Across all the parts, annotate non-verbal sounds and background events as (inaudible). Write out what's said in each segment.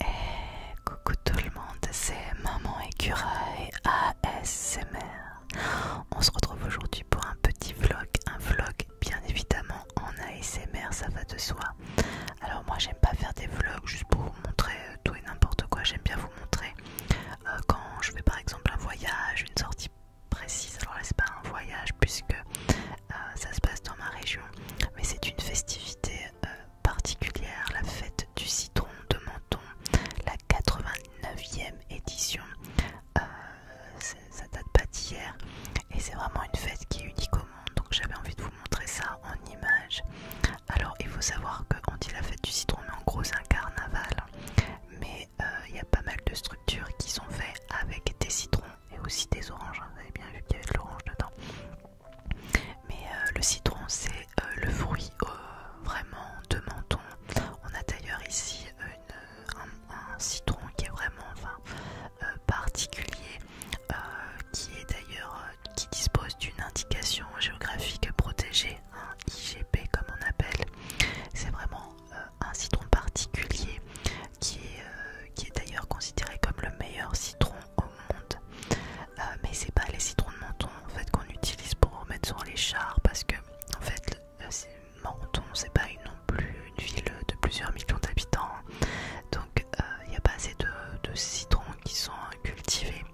Et eh, coucou tout le monde, c'est Maman et ASMR. On se retrouve aujourd'hui pour un petit vlog, un vlog bien évidemment en ASMR, ça va de soi. Alors moi j'aime pas faire des vlogs juste pour vous montrer euh, tout et n'importe quoi, j'aime bien vous montrer euh, quand je fais par exemple un voyage, une sortie précise. Alors là c'est pas un voyage puisque euh, ça se passe dans ma région, mais c'est une festivité particulière, la fête du citron de Menton, la 89e édition. Euh, ça date pas d'hier et c'est vraiment une fête qui est unique au monde. Donc j'avais envie de vous montrer ça en image. Alors il faut savoir qu'on dit la fête du citron, mais en gros c'est un carnaval. Mais euh, il y a pas mal de structures qui sont faites avec des citrons et aussi des oranges, hein. vous avez bien vu qu'il y avait de l'orange dedans. Mais euh, le citron, c'est euh, le fruit euh, vraiment de menton. On a d'ailleurs ici un, citron qui est vraiment particulier, qui est d'ailleurs qui dispose d'une indication géographique protégée, un hein, IGP comme on appelle. C'est vraiment un citron particulier euh, qui est, d'ailleurs considéré comme le meilleur citron au monde. mais euh, mais c'est pas les citrons de menton en fait qu'on utilise pour mettre sur les chars parce que en fait Menton c'est pas non plus une ville de plusieurs millions d'habitants donc il euh, n'y a pas assez de, citrons qui sont cultivés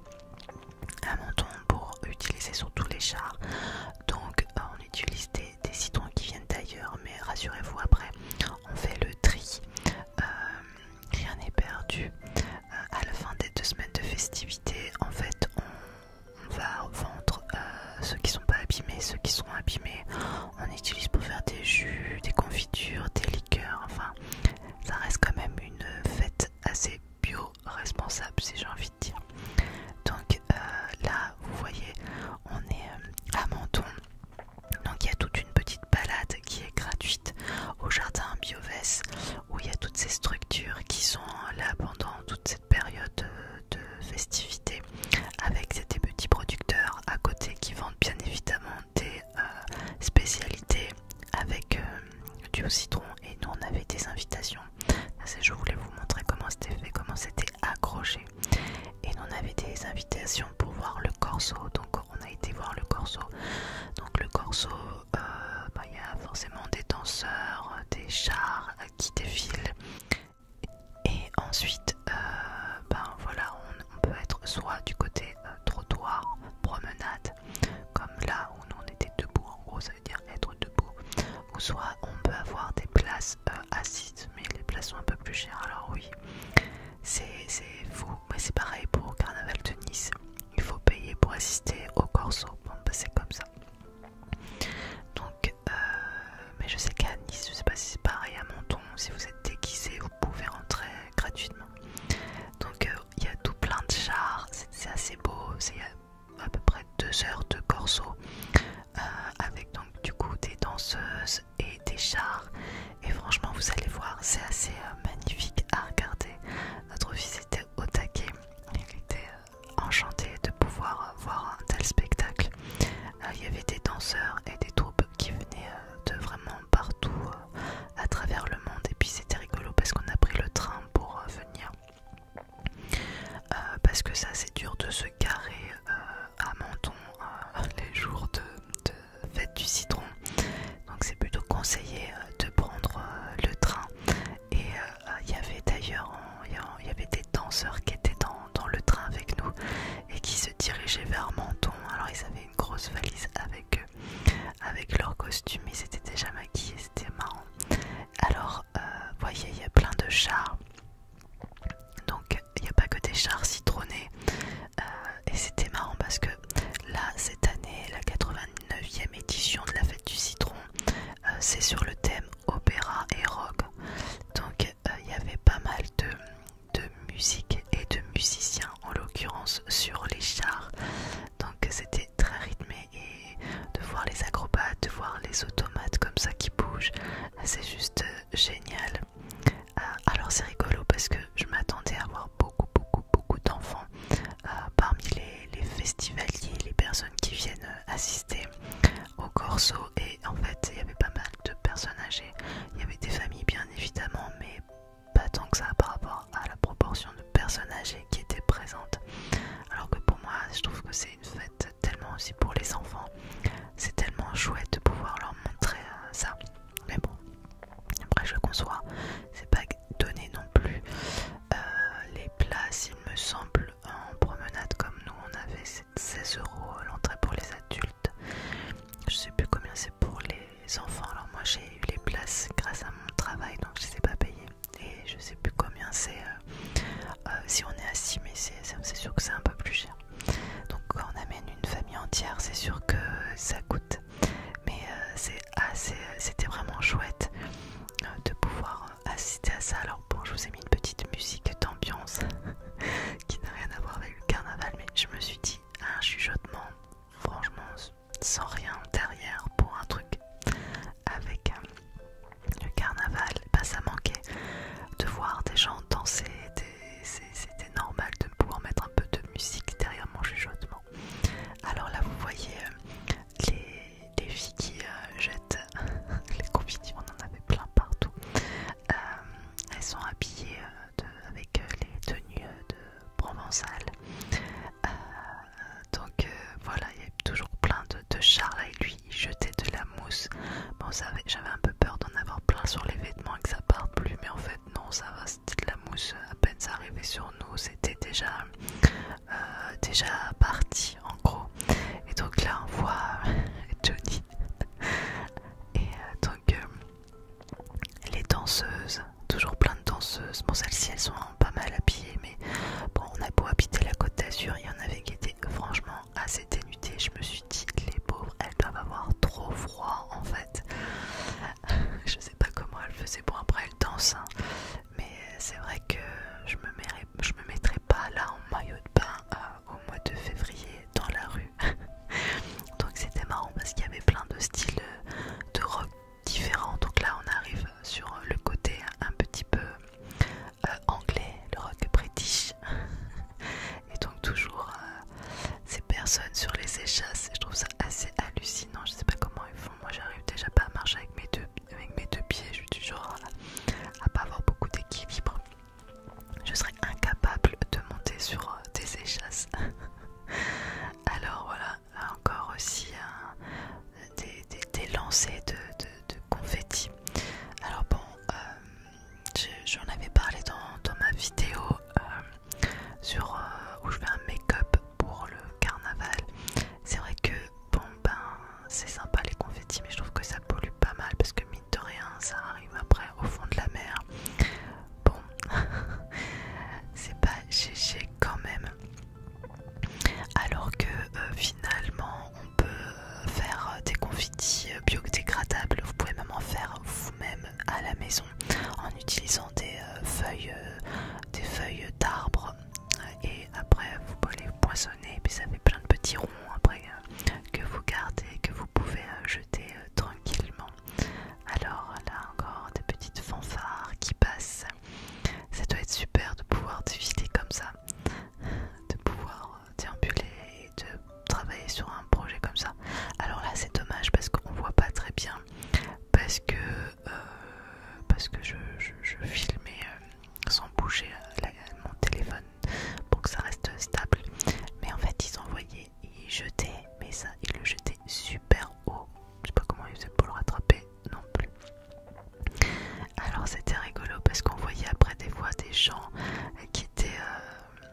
à Menton pour utiliser sur tous les chars donc on utilise des citrons qui viennent d'ailleurs, mais rassurez-vous, après, on fait le tri. Euh, rien n'est perdu. Euh, à la fin des deux semaines de festivités, en fait, on, va vendre euh, ceux qui sont pas abîmés, ceux qui sont abîmés. On utilise pour faire des jus, des confitures, des liqueurs. Enfin, ça reste quand même une fête assez bio-responsable, si j'ai envie de dire. Donc là, vous voyez, on est à Menton. Donc il y a toute une petite balade qui est gratuite au jardin Bioves où il y a toutes ces structures qui sont là pendant toute cette période de festivités avec ces petits producteurs à côté qui vendent bien évidemment des euh, spécialités avec euh, du citron et nous on avait des invitations. Je voulais vous montrer comment c'était fait, comment c'était accroché et on avait des invitations pour voir le corso, donc on a été voir le corso. Donc le corso, euh, bah, il y a forcément des danseurs, des chars euh, qui défilent. Et ensuite, euh, ben, voilà, on, peut être soit du côté trottoir, promenade, comme là où nous on était debout, en gros ça veut dire être debout, ou soit on peut avoir des places assises mais les places sont un peu plus chères. Alors oui, c'est fou. Mais c'est pareil pour le Carnaval de Nice. Il faut payer pour assister au Corso. Bah, c'est comme ça. Donc, euh, mais je sais qu'à Nice, je sais pas si c'est pareil à Monton si vous êtes déguisé, vous pouvez rentrer gratuitement. Donc, euh, il y a tout plein de chars, c'est assez beau. C'est à peu près deux heures de corso euh, avec donc du coup des danseuses, et des chars et franchement vous allez voir c'est assez euh, magnifique à regarder notre fils était au taquet il était euh, enchanté de pouvoir euh, voir un tel spectacle il y avait des danseurs et des troupes qui venaient de vraiment partout à travers le monde et puis c'était rigolo parce qu'on a pris le train pour venir parce que ça c'est dur de se garer euh, à Menton euh, les jours de, fête du citron. Donc c'est plutôt conseillé euh, de prendre le train. Et il y avait d'ailleurs il y avait des danseurs qui étaient dans, le train avec nous et qui se dirigeaient vers Menton. Alors ils avaient une grosse valise avec eux, avec leur costume, ils étaient déjà maquillés, c'était marrant. Alors, vous voyez, il y a plein de chars donc il n'y a pas que des chars citronnés. Euh, et c'était marrant parce que là, cette année, la 89e édition de la fête du citron, euh, c'est sur le thème opéra et rock. Donc euh, il y avait pas mal de, de musique et de musiciens, en l'occurrence sur les chars. Donc c'était très rythmé et de voir les acrobates, de voir les automates comme ça qui bougent, c'est juste génial. Euh, alors c'est rigolo parce que je m'attendais à avoir beaucoup, beaucoup, beaucoup d'enfants euh, parmi les, les festivaliers, les personnes qui viennent euh, assister au corso. Et en fait, il y avait pas mal de personnes âgées. Il y avait des familles, bien évidemment, mais pas tant que ça par rapport à la proportion de personnes âgées qui étaient présentes. Alors que pour moi, je trouve que c'est une fête tellement aussi pour les enfants. C'est tellement chouette de pouvoir leur montrer euh, ça. Mais bon, après je conçois, c'est pas donné non plus. Euh, les places, il me semble, en promenade comme nous, on avait 16 euros l'entrée pour les adultes. Je sais plus combien c'est pour les enfants. Alors moi j'ai eu les places grâce à mon travail, donc je les ai pas payées. Et je sais plus combien c'est euh, euh, si on est assis, mais c'est sûr que c'est un peu plus cher. Donc quand on amène une famille entière, c'est sûr que ça coûte. Mais euh, assez, c'était vraiment chouette euh, de pouvoir assister à ça. Alors bon, je vous ai mis une petite musique d'ambiance (laughs) qui n'a rien à voir avec le carnaval, mais je me suis dit un chuchotement, franchement, sans rien derrière pour un truc avec le carnaval, ben, ça manquait de voir des gens danser, c'était normal de pouvoir mettre un peu de musique derrière mon chuchotement. Alors là, vous voyez euh, les, filles qui euh, jettent (laughs) les confettis, on en avait plein partout. Euh, elles sont habillées avec les tenues de Provençal. donc voilà, il y a toujours plein de, Charles et lui jeter de la mousse. Bon, j'avais un peu peur d'en avoir plein sur les vêtements et que ça parte plus, mais en fait, non, ça va, c'était de la mousse. À peine ça arrivait sur nous, c'était déjà, euh, déjà parti en gros. Et donc là, on voit euh, Johnny. (laughs) Et euh, donc, les danseuses, toujours plein de danseuses. Bon, celles-ci, elles sont pas mal habillées, bon, on a beau habiter la côte d'Azur, il y en avait qui étaient franchement assez dénudés. Je me suis dit, les pauvres, elles doivent avoir trop froid en fait. (laughs) je sais pas comment elles faisaient. pour après, elles dansent, hein. mais c'est vrai que je me, mettrai, me pas là en maillot de bain euh, au mois de février dans la rue. (laughs) donc, c'était marrant parce qu'il y avait plein de styles de rock différents. Donc, là, on arrive sur le côté un petit peu euh, anglais, le rock british. (laughs) Et donc toujours euh, ces personnes sur les échasses, je trouve ça assez hallucinant, je sais pas comment ils font, moi j'arrive déjà pas à marcher avec mes deux, avec mes deux pieds, je suis toujours euh, à, pas avoir beaucoup d'équilibre. Je serais incapable de monter sur des échasses. (laughs) Alors voilà, encore aussi un, des, lancers de, confettis confetti. Alors bon, euh, j'en avais parlé dans, ma vidéo euh, sur euh, où je fais un make-up pour le carnaval. C'est vrai que bon ben c'est sympa les confettis, mais je trouve que ça pollue pas mal parce que mine de rien ça arrive après au fond de la mer. Bon, (laughs) c'est pas GG quand même. Alors que euh, finalement on peut faire des confitis euh, biodégradables, vous pouvez même en faire vous-même à la maison en utilisant des euh, feuilles des feuilles d'arbres et après vous pouvez les poissonner et puis ça fait plein de petits ronds après que vous gardez, que vous pouvez jeter tranquillement. Alors là encore des petites fanfares qui passent ça doit être super de pouvoir défiler comme ça, de pouvoir euh, déambuler et de travailler sur un projet comme ça. Alors là, c'est dommage parce qu'on voit pas très bien, parce que euh, parce que je, filmais euh, sans bouger mon téléphone pour que ça reste stable. Mais en fait, ils envoyaient, ils jetaient, mais ça, ils le jetaient super haut. Je sais pas comment ils faisaient pour le rattraper non plus. Alors c'était rigolo parce qu'on voyait après des voix des gens qui étaient euh,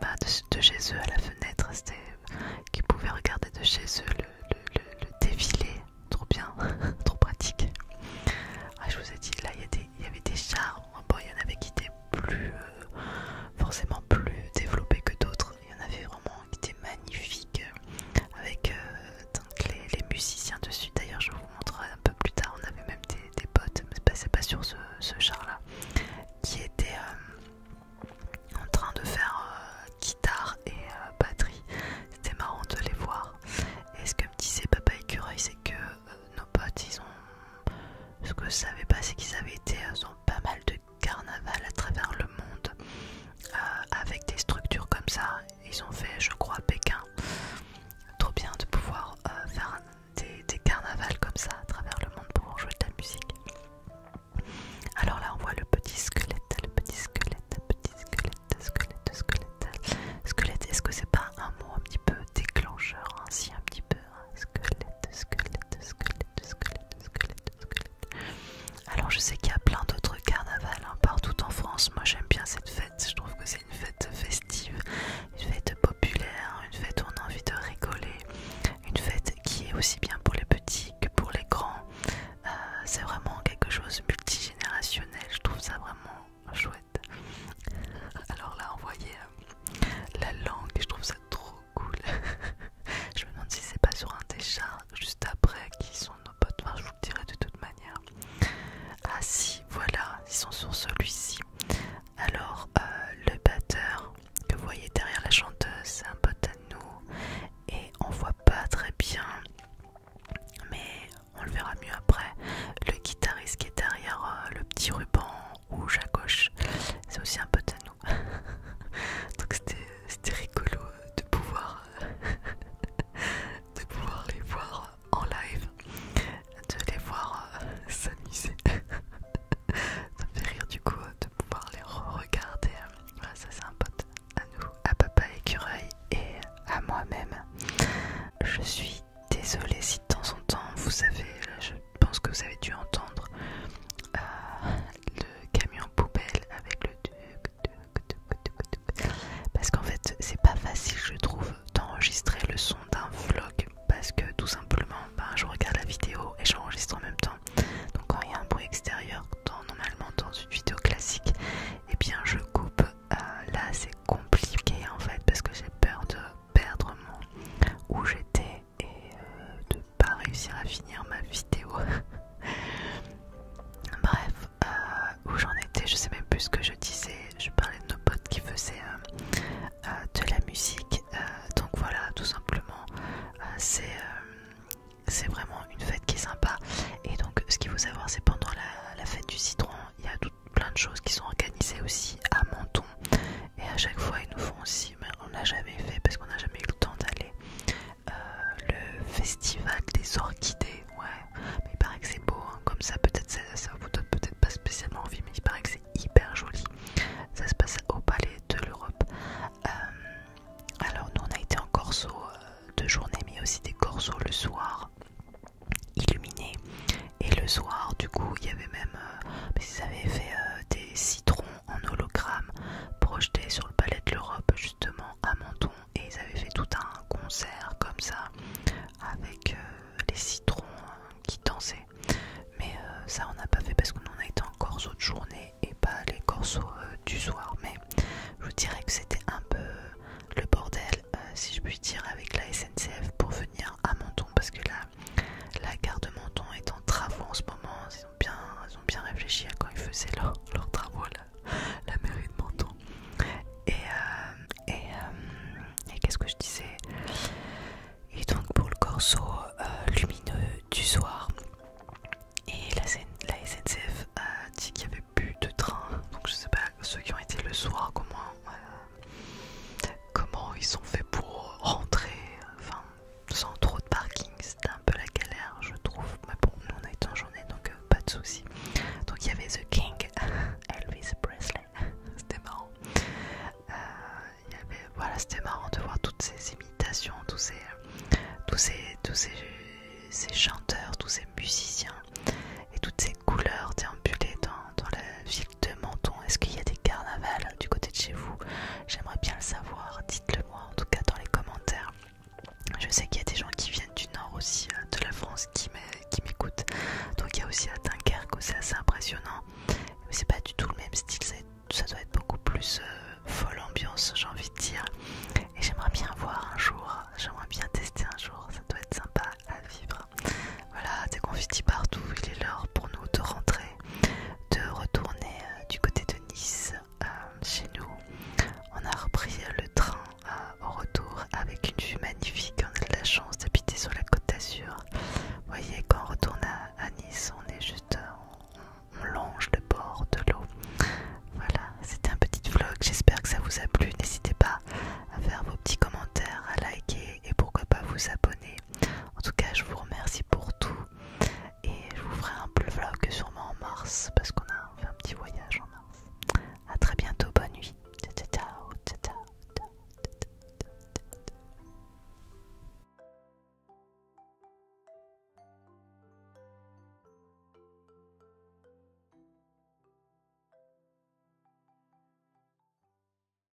bah, de, chez eux à la fenêtre, qui pouvaient regarder de chez eux le, défilé. Trop bien, (laughs) trop pratique. Ah, je vous ai dit, là il y, avait des chars, il y en avait qui étaient plus, euh, forcément plus développés que d'autres, il y en avait vraiment qui étaient magnifiques euh, avec euh, les, musiciens dessus. D'ailleurs, je vous montrerai un peu plus tard. On avait même des, potes, mais c'est pas, pas sur ce, char-là, qui étaient euh, en train de faire guitare et batterie. C'était marrant de les voir. Et ce que me disait Papa Écureuil, c'est que nos potes, ils ont. Ce que je savais pas, c'est qu'ils avaient été dans pas mal de carnaval à travers le monde euh, avec des structures comme ça. Ils ont fait, je crois, Pékin. Trop bien de pouvoir euh, faire des, carnavals comme ça à travers le monde pour jouer de la musique. Alors là, on voit le petit squelette, le petit squelette, le petit squelette, squelette, squelette, squelette. Est-ce que c'est pas un mot un petit peu déclencheur ainsi, hein, un petit peu hein, Squelette, squelette, squelette, squelette, squelette, squelette. Alors je sais qu'il y a plein d'autres carnavals hein, partout en France. Moi j'aime bien cette fête. Je trouve que c'est une fête festive, une fête populaire, une fête où on a envie de rigoler, une fête qui est aussi bien pour les petits que pour les grands. Euh, c'est vraiment quelque chose multigénérationnel. Je trouve ça vraiment chouette. Alors là, on voyait euh, la langue. Je trouve ça trop cool. (laughs) je me demande si c'est pas sur un des juste après qui sont nos potes. je vous le dirai de toute manière. Ah si, voilà, ils sont sur celui-ci. Alors, euh, le batteur que vous voyez derrière la chanteuse, c'est un pote à nous. Et on voit pas très bien, mais on le verra mieux après. Le guitariste qui est derrière euh, le petit ruban rouge à gauche, c'est aussi un pote à nous. (laughs) donc c'était rigolo de pouvoir (laughs) de pouvoir les voir en live de les voir euh, s'amuser (laughs) ça fait rire du coup de pouvoir les regarder ça c'est un pote à nous à papa écureuil et à moi-même je suis désolée si de temps en temps vous savez je pense que vous avez dû entendre euh, le camion poubelle avec le duc duc duc duc parce qu'en fait c'est pas facile je trouve d'enregistrer le son d'un vlog parce que tout simplement ben, je regarde la vidéo et j'enregistre en même temps donc quand il y a un bruit extérieur normalement dans une vidéo classique et eh bien je coupe euh, là c'est compliqué en fait parce que j'ai peur de perdre mon où j'étais et de euh, de pas réussir à finir ma vidéo. (laughs) Bref, euh, où j'en étais, je sais même plus ce que je disais. Je parlais de nos potes qui faisaient euh, de la musique. donc voilà, tout simplement, c'est vraiment une fête qui est sympa. Et donc, ce qu'il faut savoir, c'est pendant la, fête du citron, il y a plein de choses qui sont organisées aussi à Menton. Et à chaque fois, ils nous font aussi mais on n'a jamais fait parce qu'on n'a jamais eu le temps d'aller. Euh, le festival des orchidées, ouais. Mais il paraît que c'est beau, hein, comme ça, peut-être ça, vous donne peut-être pas spécialement envie, mais il paraît que c'est hyper joli. Ça se passe au palais de l'Europe. Euh, alors, nous, on a été en corso euh, de journée, mais aussi des corso le soir, illuminés. Et le soir, du coup, il y avait même. ils avaient fait des citrons en hologramme projeté sur le palais de l'Europe justement à Menton et ils avaient fait tout un concert comme ça avec euh, les citrons hein, qui dansaient mais euh, ça on n'a pas fait parce qu'on en a été en corso de journée et pas les corso euh, du soir mais je dirais que c'était un peu le bordel si je puis dire avec la SNCF pour venir à Menton parce que là la gare de Menton est en travaux en ce moment. Ils ont bien, ont bien réfléchi à quand ils faisaient (laughs) leurs travaux, là, la mairie de Menton. Et, euh, euh, qu'est-ce que je disais Et donc pour le corso euh, lumineux du soir, et la, SNCF a dit qu'il n'y avait plus de train. Donc je sais pas ceux qui ont été le soir comment, comment ils sont faits pour rentrer. Enfin, sans trop de parking, c'était un peu la galère, je trouve. Mais bon, nous on a été en journée donc euh, pas de soucis. Donc il y avait The King, (laughs) Elvis Presley, (laughs) c'était marrant. Euh, voilà, c'était marrant de voir toutes ces imitations, tous ces, tous ces, tous ces, chanteurs, tous ces musiciens et toutes ces couleurs déambulées dans, dans la ville de Menton. Est-ce qu'il y a des carnavals du côté de chez vous J'aimerais bien le savoir. Dites-le moi en tout cas dans les commentaires. Je sais qu'il y a des gens qui viennent du nord aussi euh, de la France qui m'écoutent. Donc il y a aussi à Dunkerque, c'est assez impressionnant. Mais c'est pas du tout le même style, ça, doit être beaucoup plus euh, folle ambiance, j'ai envie de dire. Et j'aimerais bien voir un jour, j'aimerais bien tester un jour, ça doit être sympa à vivre. Voilà, des confitis partout, il est l'heure pour nous de rentrer de retourner euh, du côté de Nice euh, chez nous. On a repris le train euh, au retour avec une vue magnifique. On a de la chance d'habiter sur la côte d'Azur. Vous voyez, quand on retourne à, Nice, on est juste. on longe le bord de l'eau. Voilà, c'était un petit vlog. J'espère que ça vous a plu. N'hésitez pas à faire vos petits commentaires, à liker et, pourquoi pas vous abonner. En tout cas, je vous remercie pour tout et je vous ferai un plus vlog sûrement en mars parce qu'on a fait un petit voyage en mars. A très bientôt, bonne nuit.